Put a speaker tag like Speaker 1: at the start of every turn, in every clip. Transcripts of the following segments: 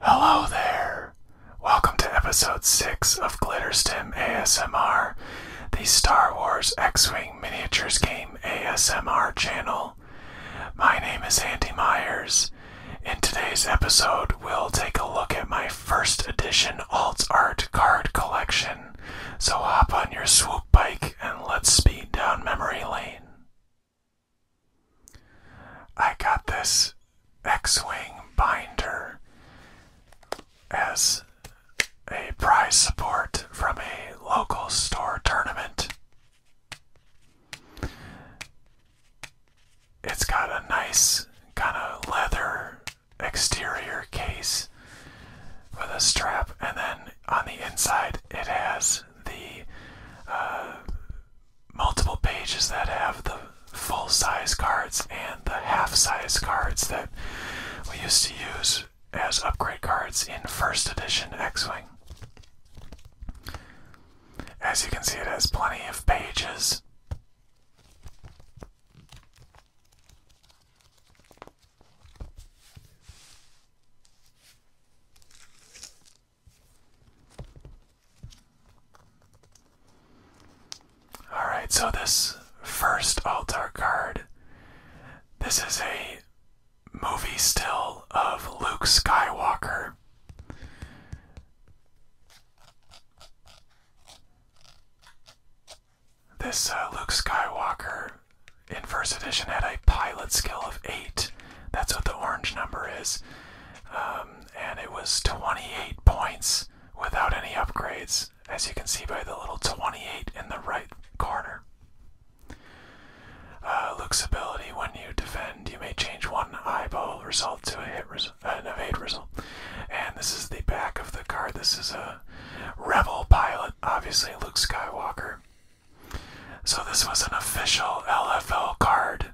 Speaker 1: Hello there! Welcome to episode 6 of Glitterstim ASMR, the Star Wars X Wing Miniatures Game ASMR channel. My name is Andy Myers. In today's episode, we'll take a look at my first edition alt art card collection. So hop on your swoop bike and let's speed down memory lane. I got this X Wing binder as a prize support from a local store tournament. It's got a nice kind of leather exterior case with a strap, and then on the inside, it has the uh, multiple pages that have the full size cards and the half size cards that we used to use as upgrade cards in first edition X Wing. As you can see, it has plenty of pages. Alright, so this first altar card, this is a movie still of Luke Skywalker. This uh, Luke Skywalker in first edition had a pilot skill of 8. That's what the orange number is. Um, and it was 28 points without any upgrades, as you can see by the little 28 in the right corner. Uh, Luke's ability when you defend, you may change one eyeball result to a hit uh, an evade result. And this is the back of the card. This is a Rebel pilot, obviously Luke Skywalker. So this was an official LFL card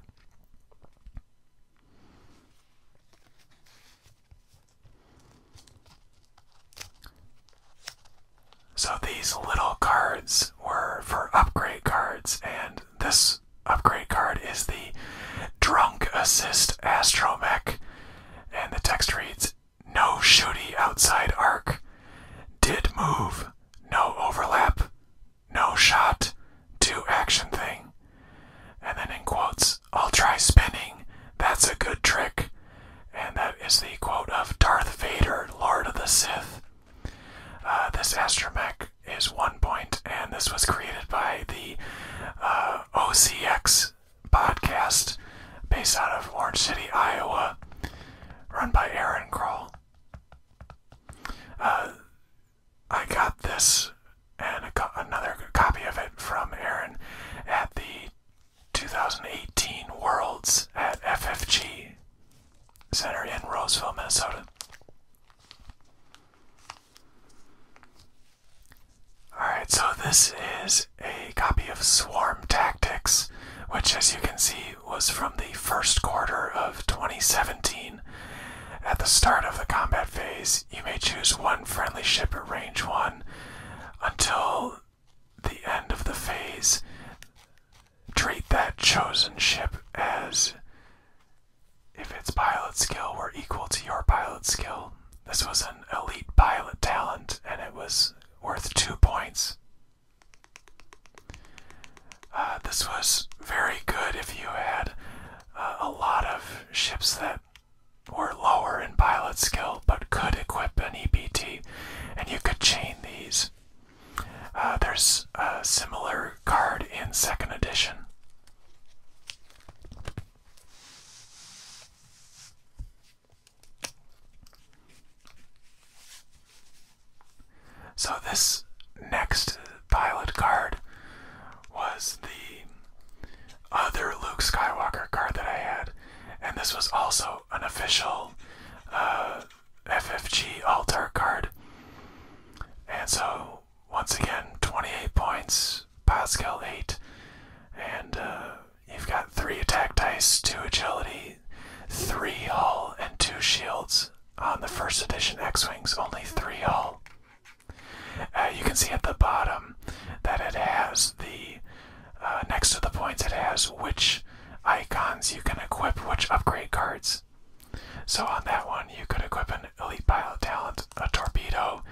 Speaker 1: so these little cards were for upgrade cards, and this upgrade card is the Drunk Assist Astromech. And the text reads No shooty outside arc. Did move. No overlap no shot, two action thing. And then in quotes, I'll try spinning. That's a good trick. And that is the quote of Darth Vader, Lord of the Sith. Uh, this astromech is one point, and this was created by the uh, OCX podcast based out of Orange City, Iowa, run by Aaron Kroll. Uh, I got this and another copy of it from Aaron at the 2018 Worlds at FFG Center in Roseville, Minnesota. Alright, so this is a copy of Swarm Tactics, which, as you can see, was from the first quarter of 2017. At the start of the combat phase, you may choose one friendly ship at range 1 until the end of the phase. Treat that chosen ship as if its pilot skill were equal to your pilot skill. This was an elite pilot talent and it was worth 2 points. Uh, this was very good if you had uh, a lot of ships that were lower in pilot skill but could equip an EBT, and you could chain these. Uh, there's a similar card in second edition. So this next pilot card was the other Luke Skywalker card that I had, and this was also an
Speaker 2: official uh, FFG altar card. And so once again, 28 points, Pascal 8, and uh, you've got three attack dice, two agility, three hull and two shields on the first edition X-Wings, only three hull. Uh, you can
Speaker 1: see at the bottom that it has the, uh, next to the points, it has which icons you can equip, which upgrade cards. So on that one, you could equip an Elite Pilot Talent, a Torpedo,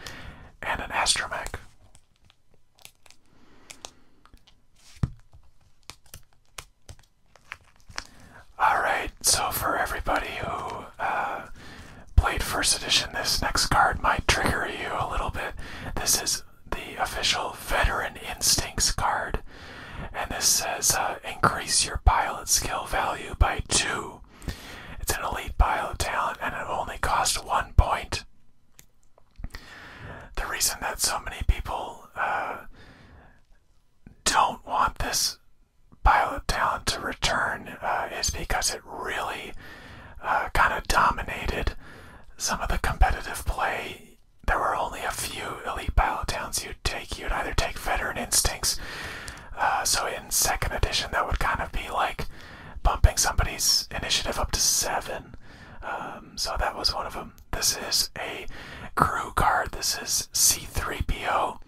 Speaker 1: and an Astromech. Alright, so for everybody who uh, played First Edition, this next card might trigger you a little bit. This is the official Veteran Instincts card, and this says uh, increase your pilot skill value by two. It's an elite pilot talent, and it only costs one point. The reason that so many people uh, don't want this pilot town to return uh, is because it really uh, kind of dominated some of the competitive play. There were only a few elite pilot towns you'd take. You'd either take veteran instincts. Uh, so in second edition, that would kind of be like bumping somebody's initiative up to seven. Um, so that was one of them um, this is a crew card. This is C3PO,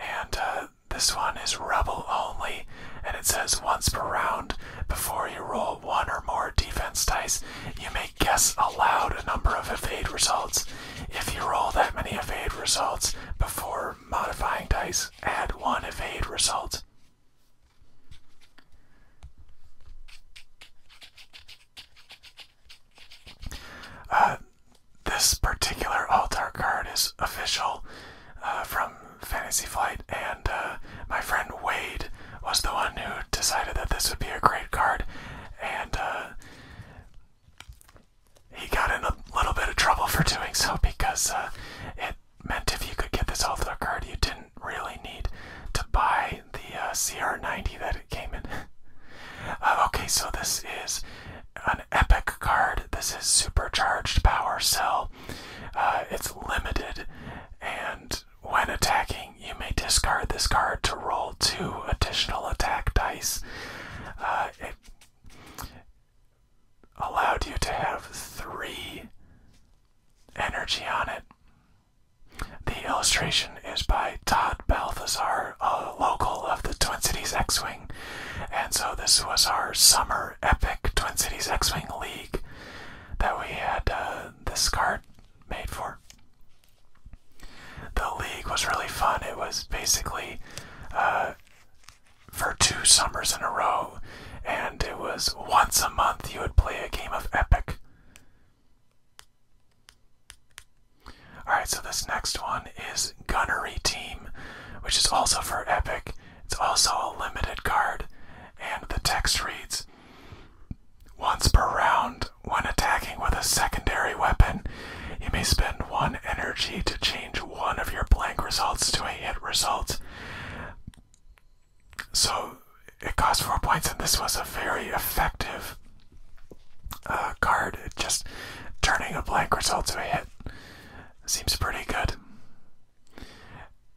Speaker 1: and uh, this one is Rebel only. And it says once per round, before you roll one or more defense dice, you may guess aloud a number of evade results. If you roll that many evade results before modifying dice, add one evade result. Uh, this particular altar card is official uh, from Fantasy Flight, and uh, my friend Wade was the one who decided that this would be a great card, and he got in a little bit of trouble for doing so because it meant if you could get this altar card, you didn't really need to buy the uh, CR90 that it came in. Uh, okay, so this is an epic card. This is supercharged power cell. Uh, it's limited, and when attacking, you may discard this card to roll two additional attack dice. it allowed you to have three energy on it. The illustration is by Todd Balthazar, a local of the Twin Cities X Wing. And so this was our summer epic Twin Cities X Wing League that we had the uh, this card made for. The league was really fun. It was basically uh, for two summers in a row, and it was once a month you would play a game of Epic. Alright, so this next one is Gunnery Team, which is also for Epic. It's also a limited card, and the text reads Once per round, when attacking with a secondary weapon, you may spend one energy to change one of your blank results to a hit result. So it costs four points, and this was a very effective uh, card. Just turning a blank result to a hit seems pretty good.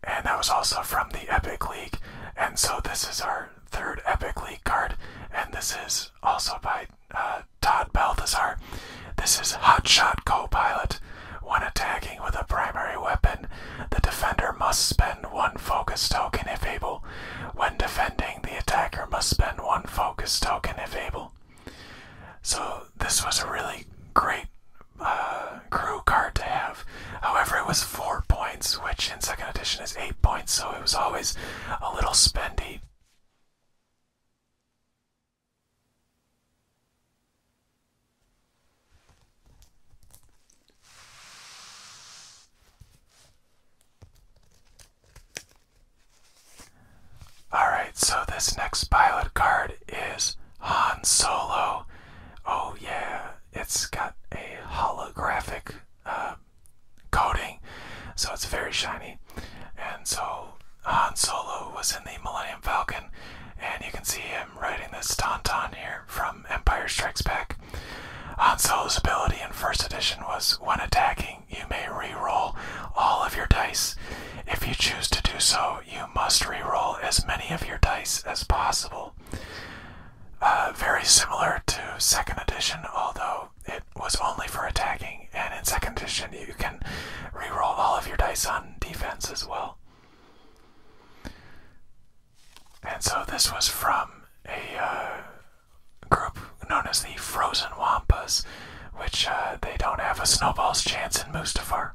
Speaker 1: And that was also from the Epic League. And so this is our third Epic League card. And this is also by uh, Todd Balthazar. This is Hotshot Co-Pilot. When attacking with a primary weapon, the defender must spend one focus token if able when defending, the attacker must spend one focus token if able. So, this was a really great uh, crew card to have. However, it was 4 points, which in 2nd edition is 8 points, so it was always a little spendy. Alright, so this next pilot card is Han Solo. Oh, yeah, it's got a holographic uh, coating, so it's very shiny. And so Han Solo was in the Millennium Falcon, and you can see him riding this Tauntaun here from Empire Strikes Back. Han uh, Solo's ability in first edition was when attacking, you may re-roll all of your dice. If you choose to do so, you must re-roll as many of your dice as possible. Uh, very similar to second edition, although it was only for attacking, and in second edition you can re-roll all of your dice on defense as well. And so this was from a uh, group known as the Frozen Wampas, which uh, they don't have a snowball's chance in Mustaphar.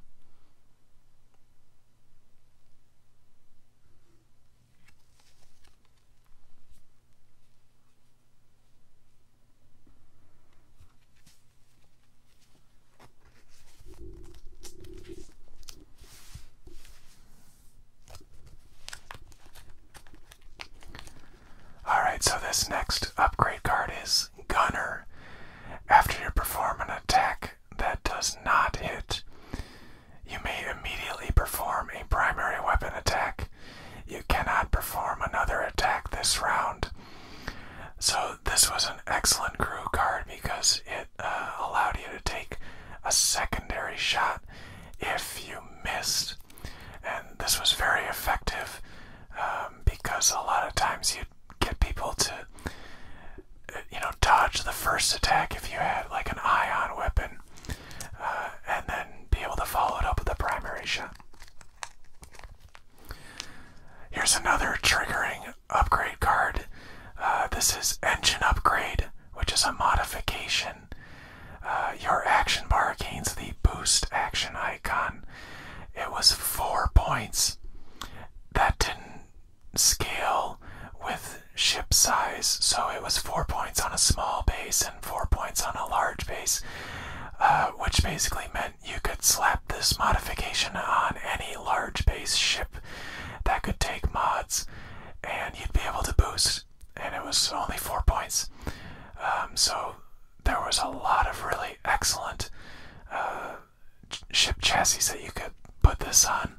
Speaker 1: Alright, so this next upgrade card is Gunner. After you perform an attack that does not hit, you may immediately perform a primary weapon attack. You cannot perform another attack this round. So, this was an excellent crew card because it uh, allowed you to take a secondary shot if you missed. And this was very effective um, because a lot of times you'd get people to, uh, you know, dodge the first attack if you had like an ion weapon, uh, and then be able to follow it up with a primary shot. Here's another triggering upgrade card. Uh, this is Engine Upgrade, which is a modification uh, your action bar gains the boost action icon. It was four points. That didn't scale with ship size, so it was four points on a small base and four points on a large base, uh, which basically meant you could slap this modification on any large base ship that could take mods, and you'd be able to boost and it was only four points. Um, so there was a lot of really excellent uh, ship chassis that you could put this on.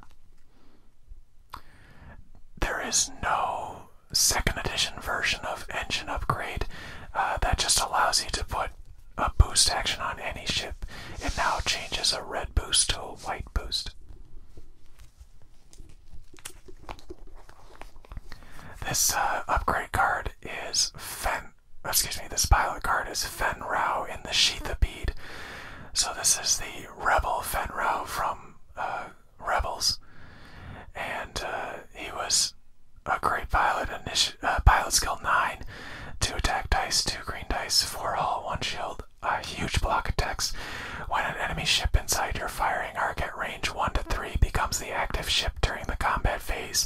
Speaker 1: There is no second edition version of engine upgrade uh, that just allows you to put a boost action on any ship. It now changes a red boost to a white boost. This uh, upgrade card is Fen. Excuse me. This pilot card is Fen Rao in the sheath of Bead. So this is the rebel Fen Rao from uh, Rebels, and uh, he was a great pilot. Initi- pilot skill nine, two attack dice, two green dice, four hull, one shield. A huge block attacks. When an enemy ship inside your firing arc at range 1 to 3 becomes the active ship during the combat phase,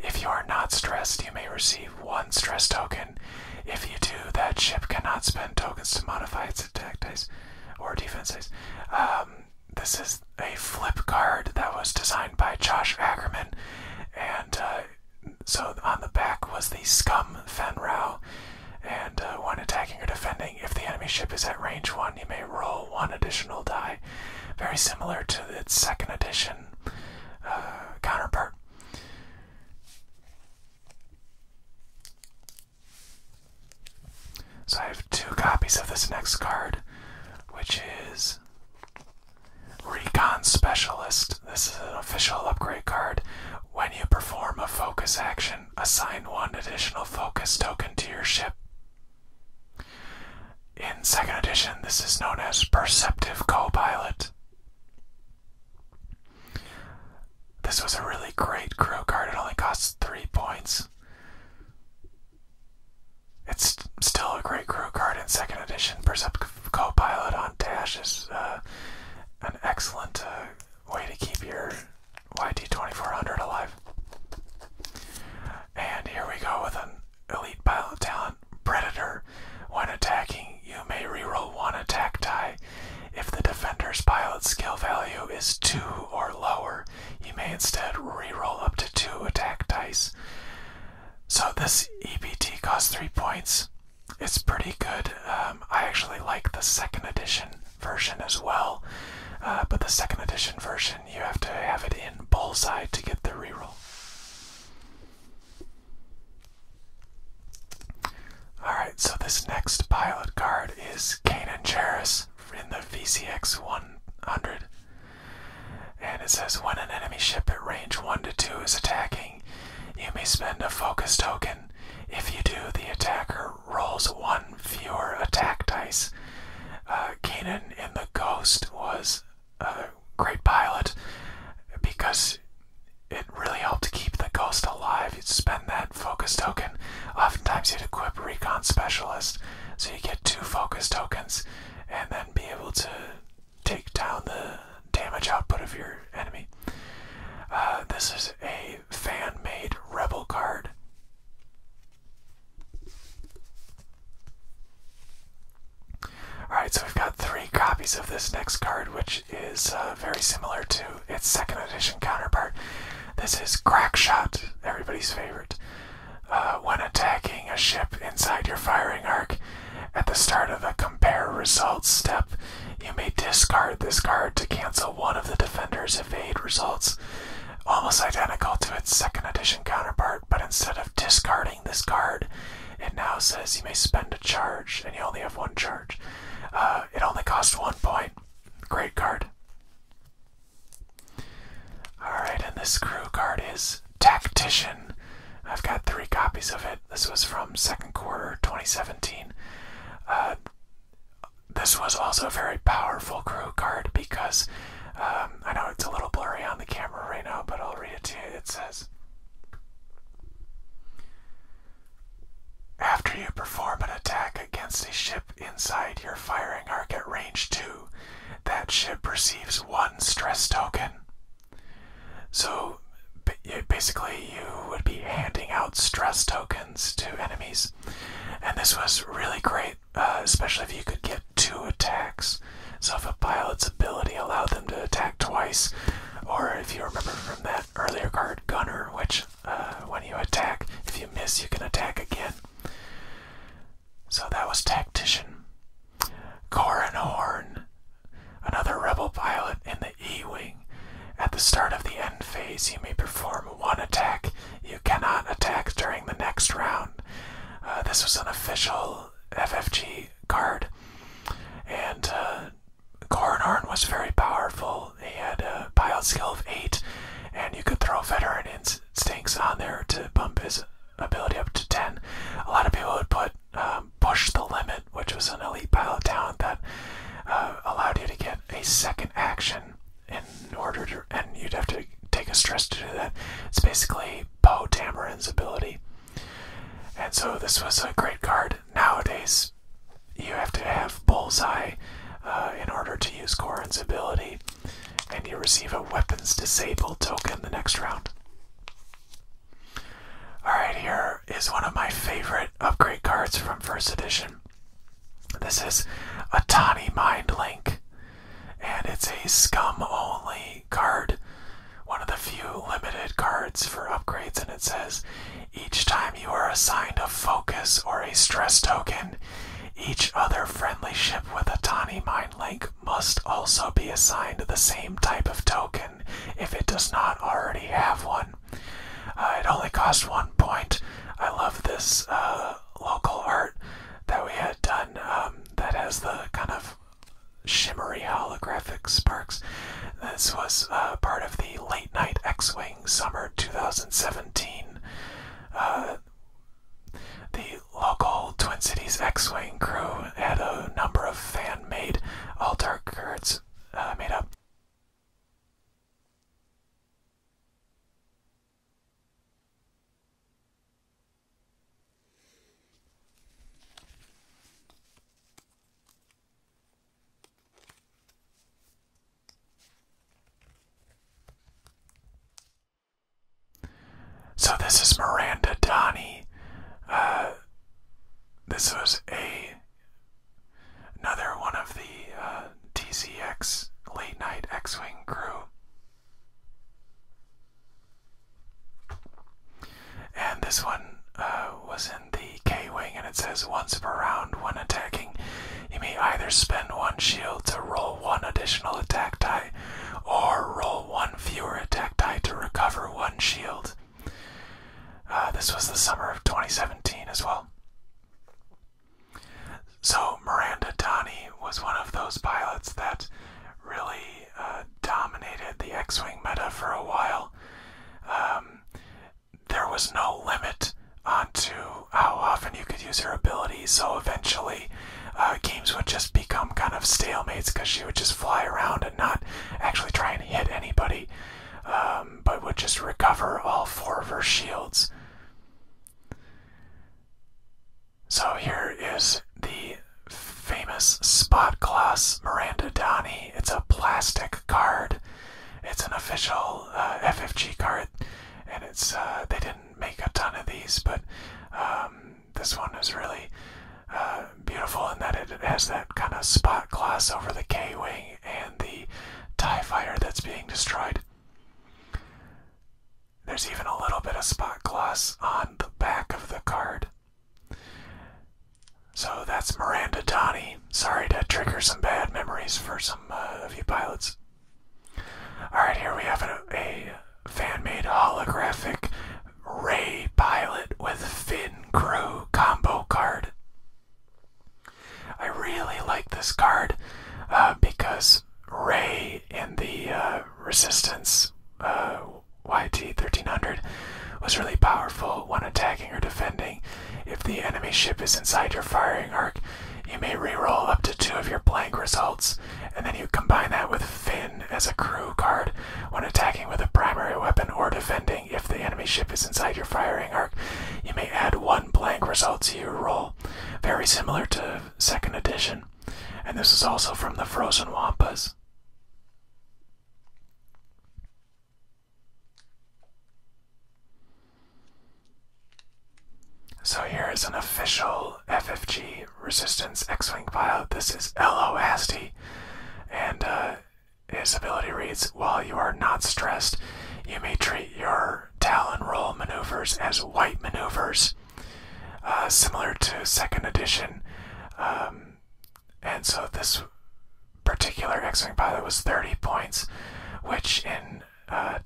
Speaker 1: if you are not stressed, you may receive one stress token. If you do, that ship cannot spend tokens to modify its attack dice or defenses. Um, this is a flip card that was designed by Josh Ackerman, and uh, so on the back was the Scum Fenrow. And when uh, attacking or defending, if the enemy ship is at range 1, you may roll one additional die. Very similar to its second edition uh, counterpart. So I have two copies of this next card, which is Recon Specialist. This is an official upgrade card. When you perform a focus action, assign one additional focus token to your ship. In second edition, this is known as Perceptive Copilot. This was a really great crew card, it only costs three points. It's still a great crew card in second edition. Perceptive Copilot on Dash is uh, an excellent uh, way to keep your YT2400 alive. And here we go with an elite pilot talent, Predator. When attacking, you may reroll one attack die. If the defender's pilot skill value is 2 or lower, you may instead reroll up to 2 attack dice. So this EBT costs 3 points it's pretty good. Um, I actually like the second edition version as well, uh, but the second edition version you have to have it in bullseye to get the reroll. Alright, so this next pilot card is Kanan Jarrus in the VCX 100. And it says when an enemy ship at range 1 to 2 is attacking, you may spend a focus token. If you do, the attacker rolls one fewer attack dice. Uh, in the Ghost was a great pilot because it really helped keep the Ghost alive. You'd spend that focus token. Oftentimes, you'd equip Recon Specialist, so you get two focus tokens and then be able to take down the damage output of your enemy. Uh, this is a fan-made Rebel card. Alright, so we've got three copies of this next card, which is uh, very similar to its second edition counterpart. This is Crackshot, everybody's favorite. Uh, when attacking a ship inside your firing arc, at the start of the compare results step, you may discard this card to cancel one of the defender's evade results. Almost identical to its second edition counterpart, but instead of discarding this card, it now says you may spend a charge and you only have one charge. Uh, it only costs one point. Great card. Alright, and this crew card is Tactician. I've got three copies of it. This was from second quarter 2017 this was also a very powerful crew card because um, I know it's a little blurry on the camera right now, but I'll read it to you. It says After you perform an attack against a ship inside your firing arc at range 2, that ship receives one stress token. So basically, you would be handing out stress tokens to enemies, and this was really great, uh, especially if you could get two attacks. So if a pilot's ability allowed them to attack twice, or if you remember from that earlier card, Gunner, which uh, when you attack, if you miss, you can attack again. So that was Tactician. Corin Horn, another rebel pilot in the E Wing. At the start of the end phase, you may perform one attack. You cannot attack during the next round. Uh, this was an official FFG card. And uh, was very powerful. He had a pilot skill of 8, and you could throw Veteran Instincts on there to bump his ability up to 10. A lot of people would put um, Push the Limit which was an elite pilot talent that uh, allowed you to get a second action in order to, and you'd have to take a stress to do that. It's basically Poe Tamarin's ability. And so this was a great card. Nowadays, you have to have Bullseye uh, in order to use Corrin's ability, and you receive a Weapons Disabled token the next round. Alright, here is one of my favorite upgrade cards from first edition. This is a Tani Mind Link, and it's a scum only card. One of the few limited cards for upgrades, and it says each time you are assigned a focus or a stress token, each other friendly ship with a Tani Mind Link must also be assigned the same type of token if it does not already have one. Uh, it only cost one point. I love this uh, local art that we had done um, that has the kind of shimmery holographic sparks. This was uh, part of the Late Night X Wing Summer 2017. the local Twin Cities X Wing crew had a number of fan made altar cards made up. So this is Miranda Donnie. Uh, this was a another one of the uh, late night X Wing crew. And this one uh, was in the K Wing, and it says once per round when attacking, you may either spend one shield to roll one additional attack die or roll one fewer attack die to recover one shield. Uh, this was the summer of 2017 as well. So, Miranda Donnie was one of those pilots that really uh, dominated the X Wing meta for a while. Um, there was no limit onto how often you could use her ability, so eventually uh, games would just become kind of stalemates because she would just fly around and not actually try and hit anybody um, but would just recover all four of her shields. So here is the famous Spot Gloss Miranda Donnie. It's a plastic card. It's an official uh, FFG card, and it's uh, they didn't make a ton of these, but um, this one is really uh, beautiful in that it has that kind of spot gloss over the K wing and the TIE fighter that's being destroyed. There's even a little bit of spot gloss on the back of the card. So that's Miranda Donnie. Sorry to trigger some bad memories for some uh, of you pilots. Alright, here we have a fan made holographic Ray pilot with Finn crew combo card. I really like this card uh, because Ray in the uh, Resistance uh, YT 1300 was really powerful when attacking or defending. If the enemy ship is inside your firing arc, you may re-roll up to two of your blank results, and then you combine that with Finn as a crew card when attacking with a primary weapon or defending. If the enemy ship is inside your firing arc, you may add one blank result to your roll. Very similar to second edition. And this is also from the Frozen Wampas. So here is an official FFG Resistance X-Wing pilot. This is L.O. And uh, his ability reads While you are not stressed, you may treat your Talon roll maneuvers as white maneuvers, uh, similar to second edition. Um, and so this particular X Wing pilot was 30 points, which in uh,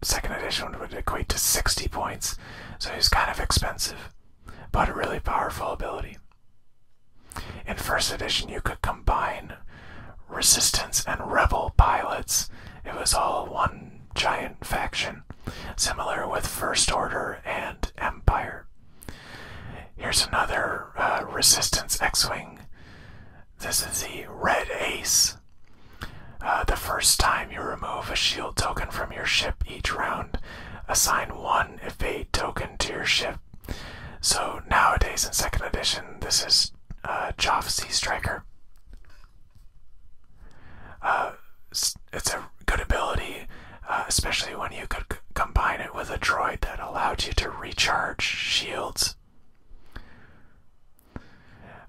Speaker 1: second edition would equate to 60 points. So he's kind of expensive, but a really powerful ability. In first edition, you could combine resistance and rebel pilots. It was all one giant faction, similar with First Order and Empire. Here's another uh, resistance X Wing. This is the Red Ace. Uh, the first time you remove a shield token from your ship each round, assign one evade token to your ship so nowadays in second edition, this is uh, Joff Sea Striker. Uh, it's, a good ability, uh, especially when you could combine it with a droid that allowed you to recharge shields.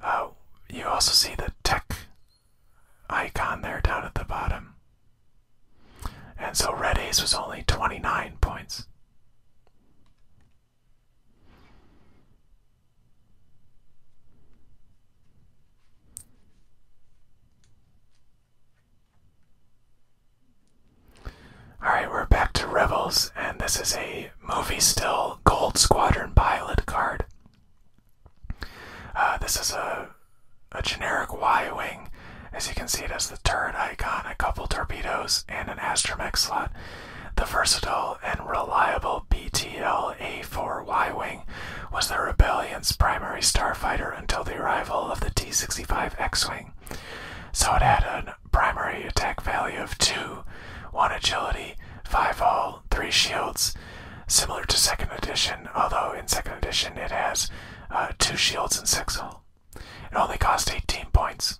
Speaker 1: Uh, you also see the tech icon there down at the bottom. And so Red Ace was only 29 points. Alright, we're back to Rebels, and this is a movie still Gold Squadron pilot card. Uh, this is a, a generic Y Wing as you can see, it has the turret icon, a couple torpedoes, and an astromech slot. The versatile and reliable BTL A4Y Wing was the Rebellion's primary starfighter until the arrival of the T 65 X Wing. So it had a primary attack value of 2, 1 agility, 5 hull, 3 shields, similar to 2nd edition, although in 2nd edition it has uh, 2 shields and 6 hull. It only cost 18 points.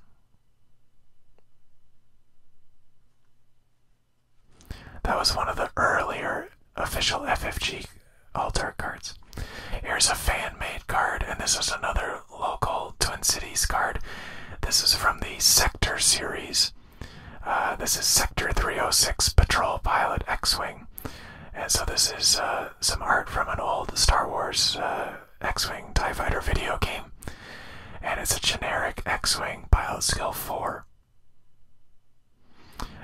Speaker 1: That was one of the earlier official FFG altar cards. Here's a fan made card, and this is another local Twin Cities card. This is from the Sector series. Uh, this is Sector 306 Patrol Pilot X Wing. And so this is uh, some art from an old Star Wars uh, X-wing Tie Fighter video game, and it's a generic X-wing pilot skill four.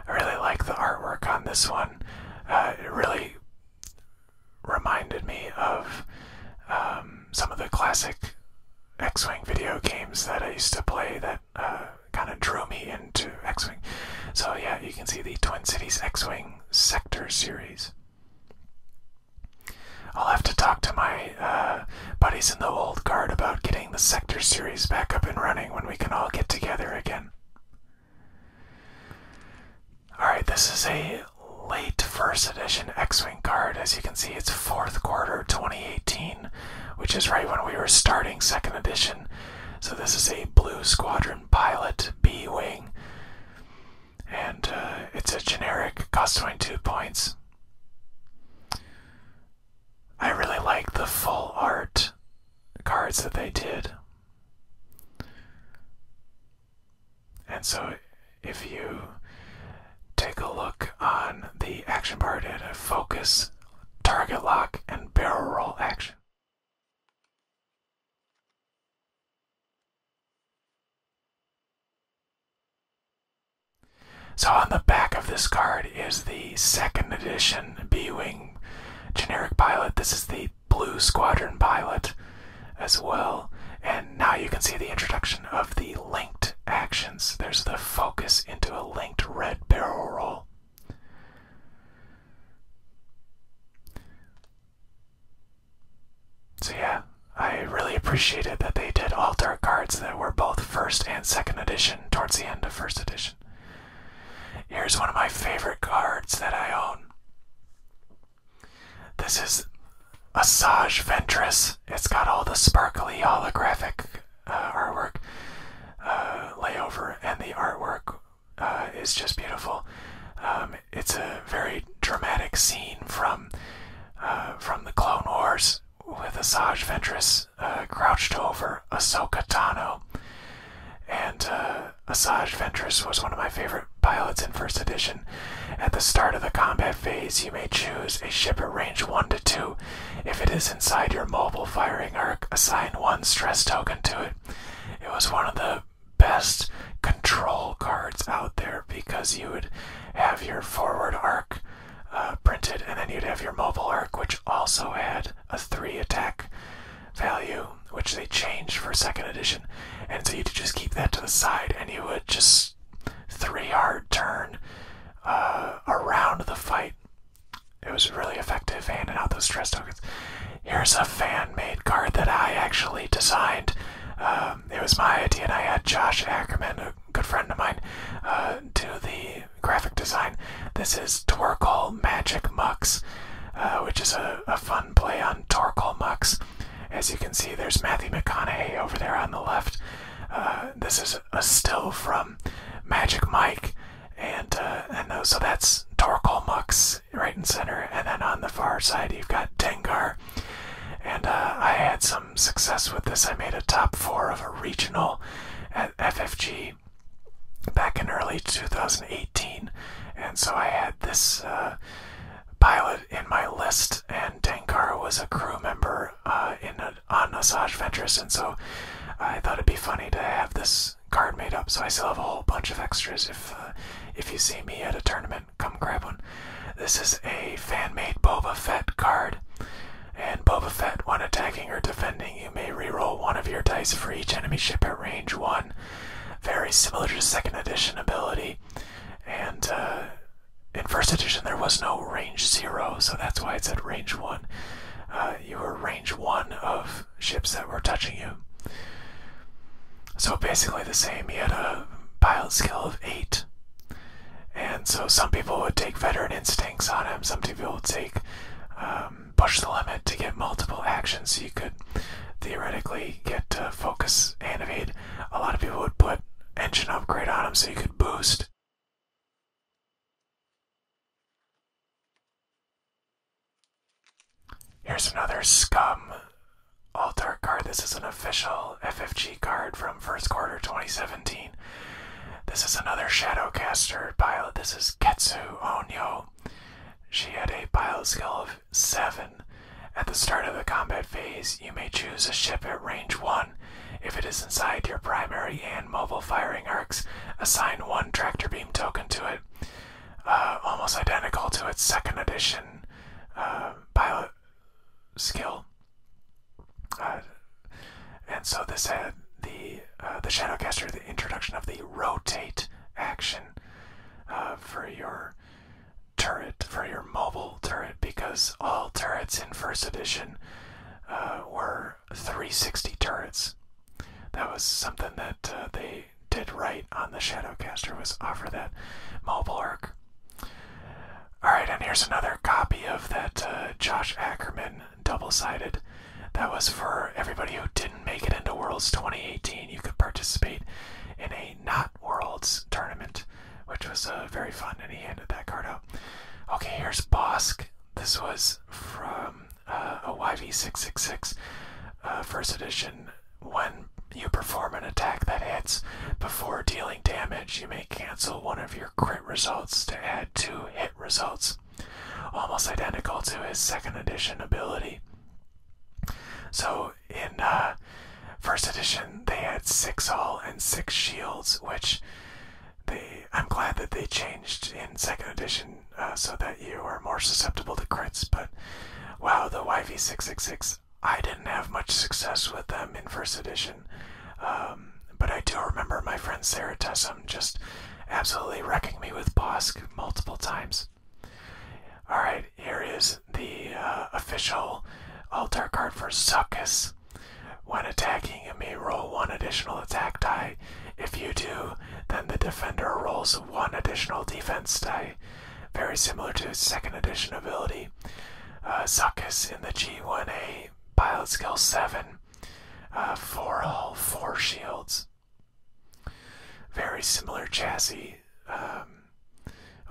Speaker 1: I really like the artwork on this one. Uh, it really reminded me of um, some of the classic X-wing video games that I used to play. That kind of drew me into X-wing. So yeah, you can see the Twin Cities X-wing Sector series. I'll have to talk to my uh, buddies in the old guard about getting the Sector series back up and running when we can all get together again. Alright, this is a late first edition X Wing card. As you can see, it's fourth quarter 2018, which is right when we were starting second edition. So, this is a Blue Squadron pilot B Wing. And uh, it's a generic, costs 22 points. I really like the full art cards that they did. And so if you take a look on the action part, it focus, target lock, and barrel roll action. So on the back of this card is the second edition B-Wing generic pilot. This is the Blue Squadron pilot as well. And now you can see the introduction of the linked actions. There's the focus into a linked red barrel roll. So yeah, I really appreciated that they did all alter cards that were both first and second edition towards the end of first edition. Here's one of my favorite cards that I own. This is Asajj Ventress. It's got all the sparkly holographic uh, artwork uh, layover, and the artwork uh, it's just beautiful. Um, it's a very dramatic scene from uh, from the Clone Wars with Asajj Ventress uh, crouched over Ahsoka Tano, and uh, Asajj Ventress was one of my favorite pilots in First Edition. At the start of the combat phase, you may choose a ship at range one to two. If it is inside your mobile firing arc, assign one stress token to it. It was one of the best control cards out there because you would have your forward arc uh, printed and then you'd have your mobile arc, which also had a 3 attack value, which they changed for second edition. And so you'd just keep that to the side and you would just 3 hard turn uh, around the fight. It was really effective handing out those stress tokens here's a fan-made card that I actually designed. Um, it was my idea, and I had Josh Ackerman, a good friend of mine, uh, do the graphic design. This is Torkoal Magic Mux, uh, which is a, fun play on Torkoal Mux. As you can see, there's Matthew McConaughey over there on the left. Uh, this is a still from Magic Mike, and uh, and uh, so that's Torkoal Mux right in center, and then on the far side you've got Dengar. And uh, I had some success with this. I made a top four of a regional at FFG back in early 2018, and so I had this pilot in my list, and Dengar was a crew member in a, on Asajj Ventress, and so I thought it'd be funny to have this card made up, so I still have a whole bunch of extras. If uh, if you see me at a tournament, come grab one. This is a fan-made Boba Fett card, and Boba Fett, when attacking or defending, you may reroll one of your dice for each enemy ship at range one. Very similar to second edition ability, and uh, in first edition there was no range zero, so that's why it said range one. Uh, you were range one of ships that were touching you. So basically the same. He had a pilot skill of eight. And so some people would take veteran instincts on him. Some people would take um, push the limit to get multiple actions. So you could theoretically get focus and evade. A lot of people would put engine upgrade on him so you could boost. Here's another Scum Altar card. This is an official FFG card from first quarter 2017. This is another Shadowcaster pilot. This is Ketsu Onyo. She had a pilot skill of 7. At the start of the combat phase, you may choose a ship at range 1. If it is inside your primary and mobile firing arcs, assign one tractor beam token to it. Uh, almost identical to its second edition uh, pilot skill. Uh, and so this had the the Shadowcaster, the introduction of the rotate action for your turret, for your mobile turret, because all turrets in first edition were 360 turrets that was something that uh, they did right on the Shadowcaster was offer that mobile arc. Alright, and here's another copy of that uh, Josh Ackerman double-sided. That was for everybody who didn't make it into Worlds 2018. You could participate in a not Worlds tournament, which was uh, very fun, and he handed that card out. Okay, here's Bosk. This was from uh, a YV 666 uh, first edition. When you perform an attack that hits before dealing damage, you may cancel one of your crit results to add two hit results, almost identical to his second edition ability. So in uh, first edition, they had six all and six shields, which they I'm glad that they changed in second edition uh, so that you are more susceptible to crits. But wow, the YV666, I didn't have much success with them in first edition. Um, but I do remember my friend Sarah Tessum just absolutely wrecking me with Bosk multiple times. Alright, here is the uh, official altar card for Succus. When attacking you may roll one additional attack die. If you do, then the defender rolls one additional defense die, very similar to second edition ability. Uh, Zuckus in the G1A pilot skill 7 uh, for all four shields. Very similar chassis, um,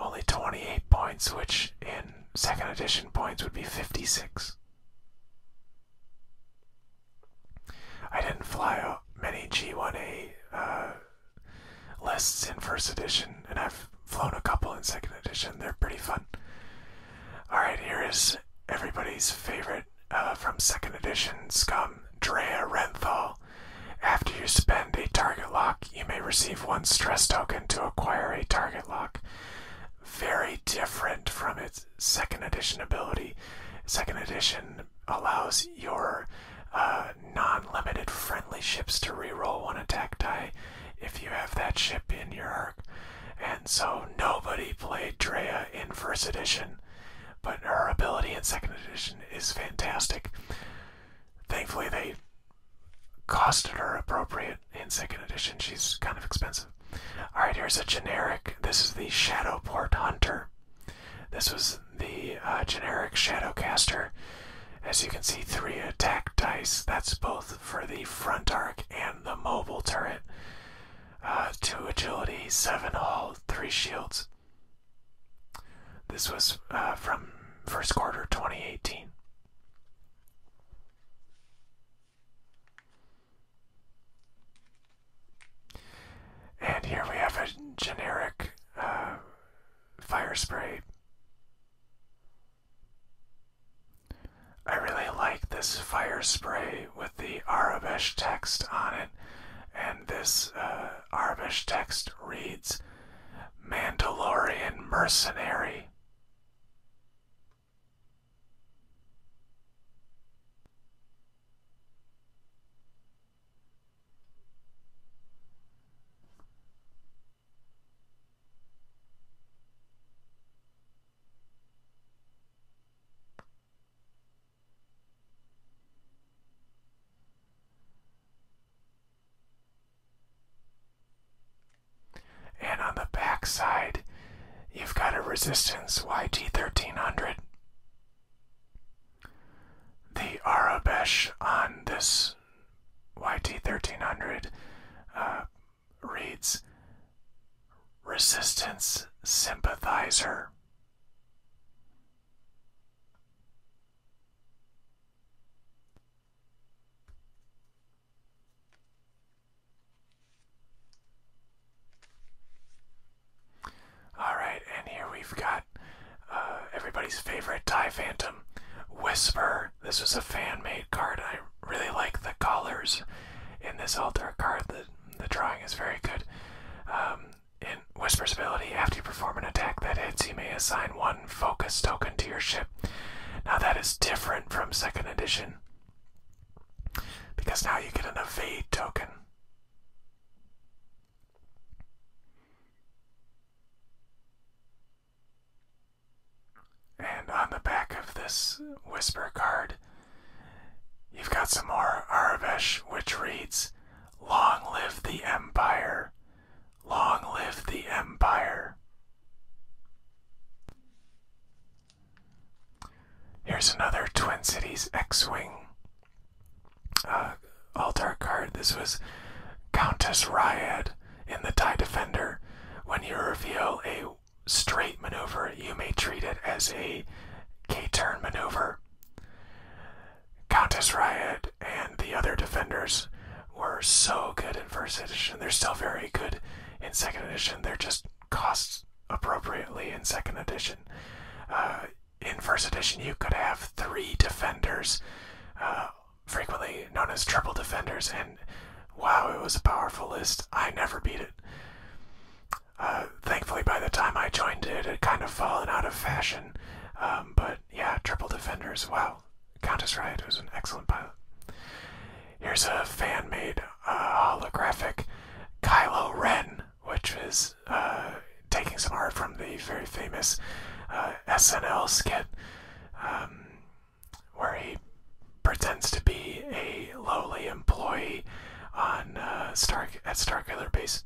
Speaker 1: only 28 points, which in second edition points would be 56. I didn't fly many G1A uh, lists in first edition, and I've flown a couple in second edition. They're pretty fun. Alright, here is everybody's favorite uh, from second edition scum, Drea Renthal. After you spend a target lock, you may receive one stress token to acquire a target lock. Very different from its second edition ability. Second edition allows your uh, non-limited friendly ships to reroll one attack die if you have that ship in your arc. And so nobody played Drea in first edition, but her ability in second edition is fantastic. Thankfully, they costed her appropriate in second edition. She's kind of expensive. All right, here's a generic. This is the Shadowport Hunter. This was the uh, generic Shadowcaster. As you can see, three attack dice. That's both for the front arc and the mobile turret. Uh, two agility, seven hull, three shields. This was uh, from first quarter 2018. And here we have a generic uh, fire spray. I really like this fire spray with the Arabic text on it, and this uh, text reads Mandalorian Mercenary. And on the back side, you've got a resistance YT1300. The Arabesh on this YT1300 uh, reads Resistance Sympathizer. All right, and here we've got uh, everybody's favorite Tie Phantom, Whisper. This was a fan-made card. I really like the colors in this altar card. The, drawing is very good. Um, in Whisper's ability, after you perform an attack that hits, you may assign one focus token to your ship. Now that is different from second edition because now you get an evade token. And on the back of this whisper card, you've got some more Aravesh, which reads, Long live the Empire! Long live the Empire! Here's another Twin Cities X-Wing uh, All dark card. This was Countess Ryad in the TIE Defender. When you reveal a straight maneuver, you may treat it as a K-turn maneuver. Countess Ryad and the other defenders were so good in first edition. They're still very good in second edition. They're just costs appropriately in second edition. Uh, in first edition, you could have three defenders, uh, frequently known as triple defenders, and wow, it was a powerful list. I never beat it. Uh, thankfully, by the time I joined it, it had kind of fallen out of fashion. Um, but yeah, triple defenders. Wow, Countess Riot was an excellent pilot. Here's a fan-made holographic Kylo Ren which is uh, taking some art from the very famous uh, SNL skit um, where he pretends to be a lowly employee on uh, Stark at Starkiller Base.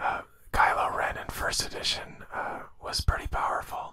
Speaker 1: Uh, Kylo Ren in first edition was pretty powerful.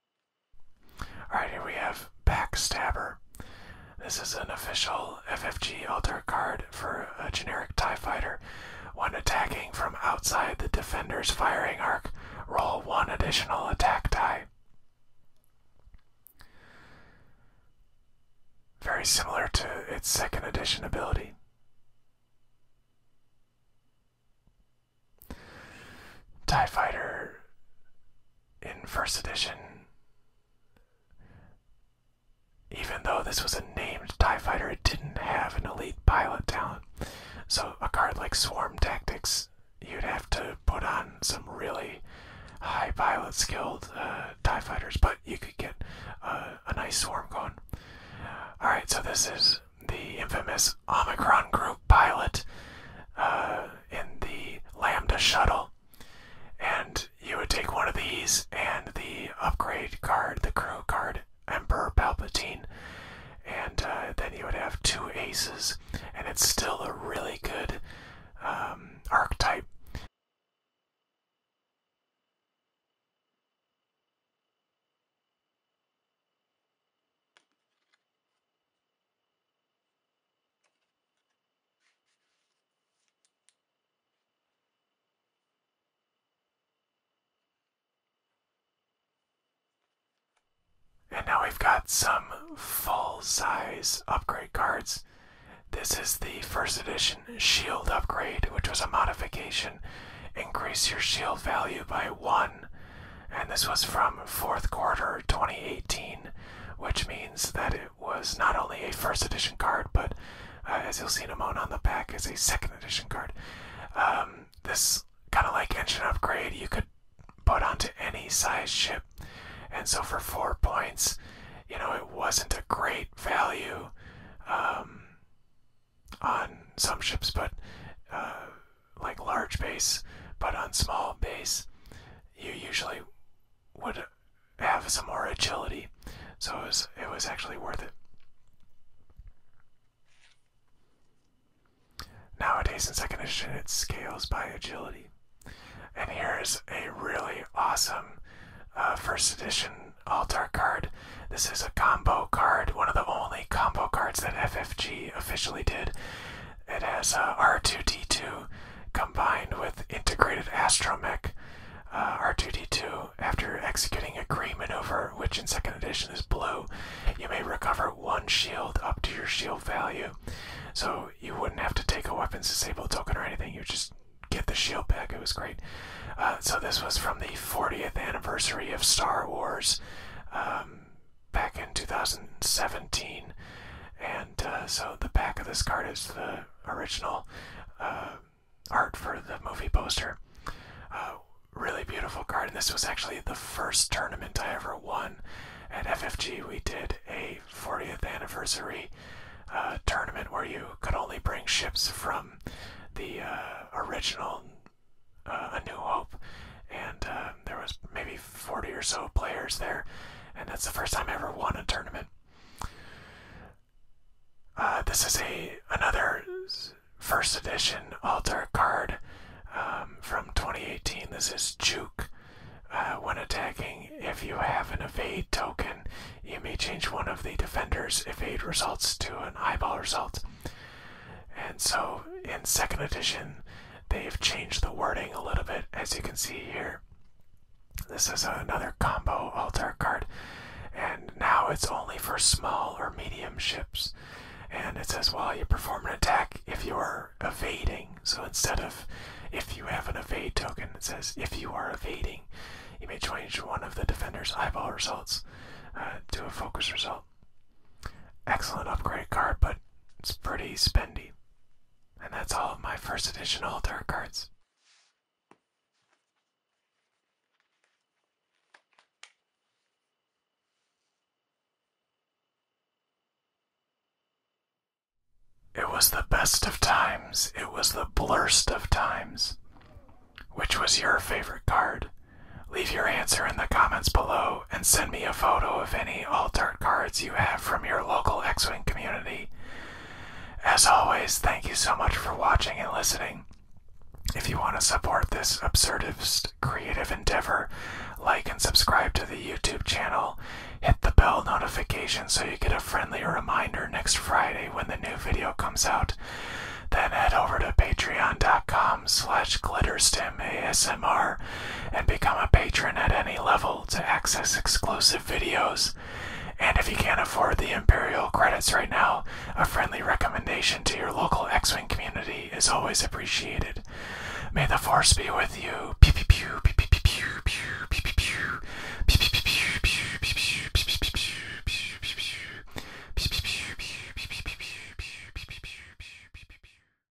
Speaker 1: Alright, here we have Backstabber. This is an official FFG alter card for a generic TIE fighter. When attacking from outside the defender's firing arc, roll one additional attack die. Very similar to its second edition ability. TIE Fighter in first edition. Even though this was a named TIE fighter, it didn't have an elite pilot talent. So, a card like Swarm Tactics, you'd have to put on some really high pilot skilled uh, TIE fighters, but you could get uh, a nice swarm going. Alright, so this is the infamous Omicron Group pilot uh, in the Lambda shuttle. And you would take one of these and the upgrade card, the crew card, Emperor Palpatine. And uh, then you would have two aces. And it's still a really good um, archetype. And now we've got some full size upgrade cards. This is the first edition shield upgrade, which was a modification. Increase your shield value by one and this was from fourth quarter 2018, which means that it was not only a first edition card, but uh, as you'll see a moment on the back, is a second edition card. Um, this kind of like engine upgrade, you could put onto any size ship, and so for four points, you know, it wasn't a great value um, on some ships, but uh, like large base, but on small base, you usually would have some more agility. So it was, actually worth it. Nowadays in second edition, it scales by agility. And here is a really awesome uh, first edition altar card. This is a combo card, one of the only combo cards that FFG officially did. It has uh, R2D2 combined with integrated astromech. Uh, R2D2, after executing a green maneuver, which in second edition is blue, you may recover one shield up to your shield value. So you wouldn't have to take a weapons disable token or anything, you just get the shield back. It was great. Uh, so this was from the 40th anniversary of Star Wars. Um, back in 2017. And uh, so the back of this card is the original uh, art for the movie poster. Uh, really beautiful card. And this was actually the first tournament I ever won at FFG. We did a 40th anniversary tournament where you could only bring ships from the original A New Hope. And there was maybe 40 or so players there, and that's the first time I ever won a tournament. Uh, this is a another first edition altar card um, from 2018. This is Juke. Uh, when attacking, if you have an evade token, you may change one of the defender's evade results to an eyeball result. And so in second edition, They've changed the wording a little bit, as you can see here. This is another combo altar card, and now it's only for small or medium ships. And it says, while well, you perform an attack, if you are evading, so instead of if you have an evade token, it says if you are evading, you may change one of the defender's eyeball results uh, to a focus result. Excellent upgrade card, but it's pretty spendy. And that's all of my first edition altar cards. It was the best of times. It was the blurst of times. Which was your favorite card? Leave your answer in the comments below and send me a photo of any altered cards you have from your local X Wing community. As always, thank you so much for watching and listening. If you want to support this absurdist creative endeavor, like and subscribe to the YouTube channel. Hit the bell notification so you get a friendly reminder next Friday when the new video comes out. Then head over to patreon.com slash glitterstim and become a patron at any level to access exclusive videos. And if you can't afford the Imperial credits right now, a friendly recommendation to your local X Wing community is always appreciated. May the Force be with you.